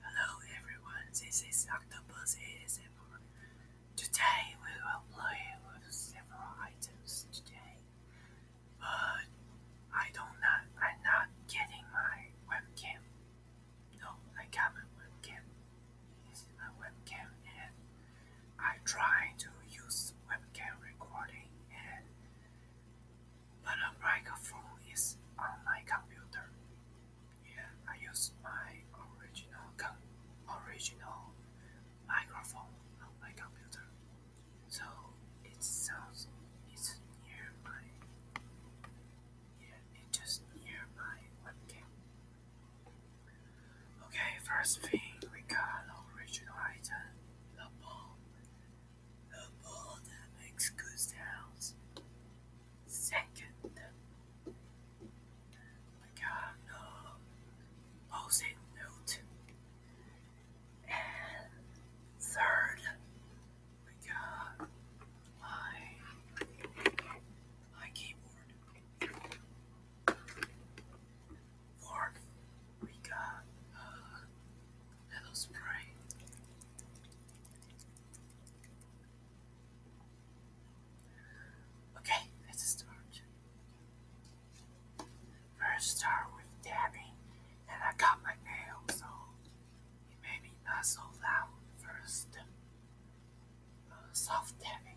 Hello everyone, this is Octopus ASMR. Today we will play with several items today, but I don't not I'm not getting my webcam. No, I got my webcam. This is my webcam and I try to use webcam recording and but a microphone is on my computer. Yeah, I use my original original microphone on my computer. So it sounds it's near my yeah, it's just near my webcam. Okay, first thing we got an original item, the ball the oh, bull that makes Second, we got the posing note. And third, we got uh, my, my keyboard. Fourth, we got uh, Hello, Spray. Okay, let's start. First, start with dabbing, and I cut my nails, so it not so loud first. Uh, soft dabbing.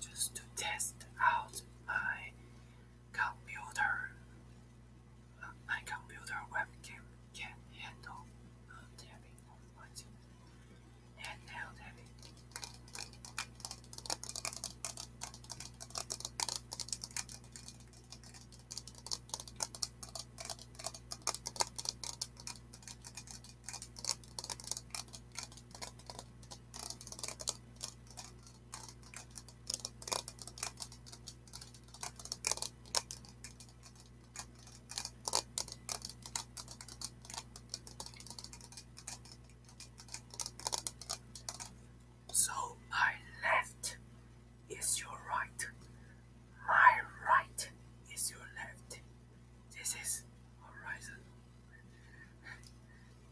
just to test out my computer. my computer webcam can handle uh, tapping on my and now tapping. So I left is your right. My right is your left. This is horizon.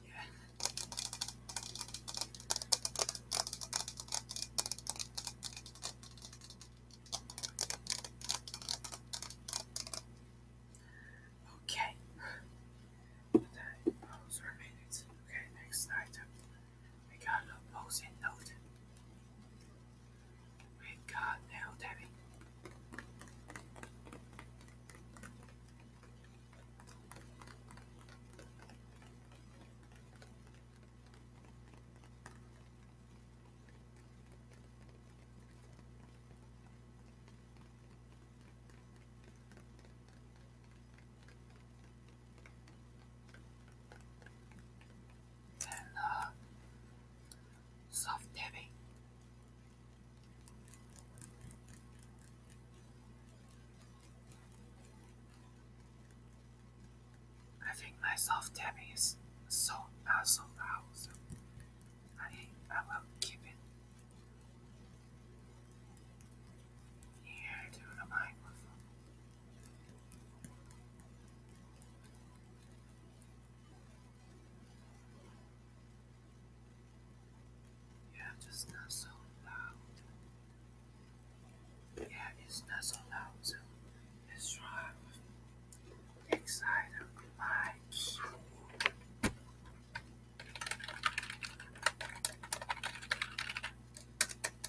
yeah. Okay. Okay, next item. We got a post and note. We got nail tapping and uh, soft tapping. I think my soft tapping is so awesome, uh, so. I think I will keep it here to the microphone. Yeah, just not so loud. Yeah, it's not so loud, so it's right. Excited, like.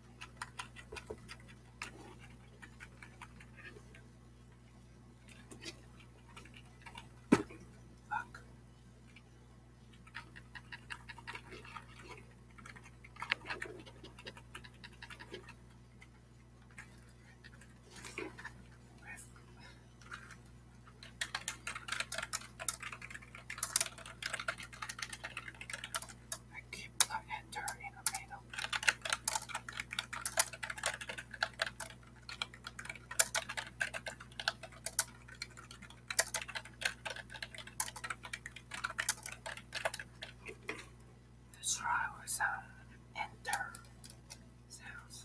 I can't I enter in the middle. enter sounds.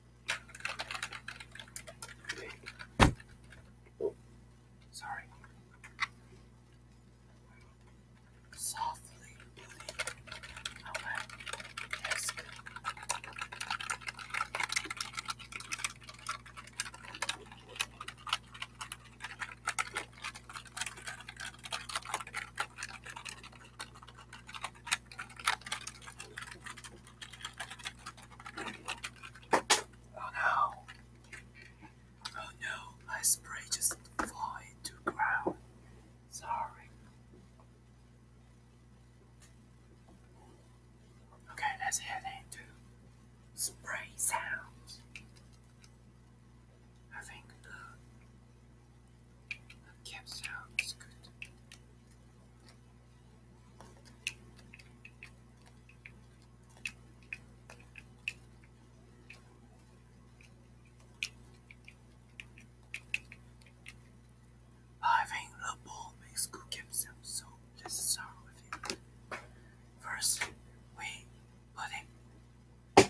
Oh, sorry. Softly putting away desk. Oh no. Oh no, my spray just fell into ground. Sorry. Okay, let's head into spray sounds. I think uh, Having the ball makes good cat sound, so let First, we put it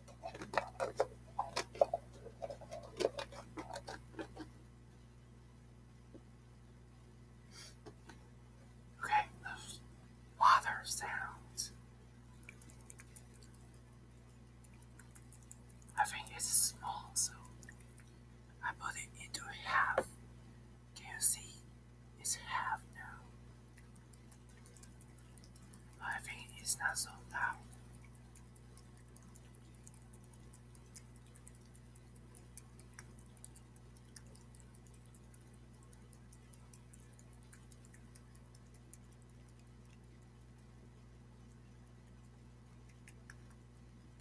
Okay, those water sounds. I think it's small, so I put it into half. Can you see? It's half now. Laughing is not so loud.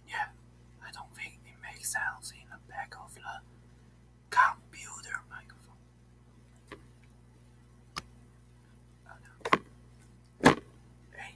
Yeah, I don't think it makes sounds in the back of the computer microphone. Oh no. Hey.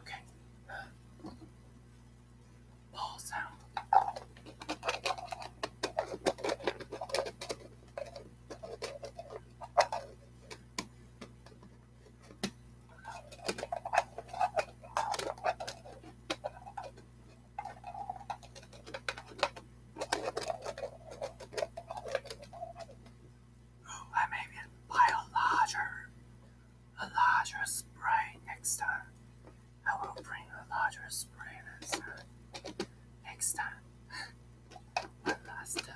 Okay. Ball sound. Oh, I maybe buy a larger, a larger spray next time. I will bring a larger spray next time. Next last time.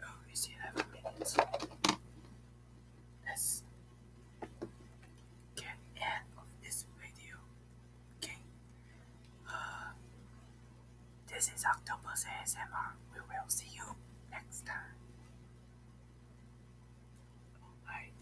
Oh, it's 11 minutes. Let's get end of this video. Okay. Uh, this is Octopus ASMR. We will see you next time. Alright,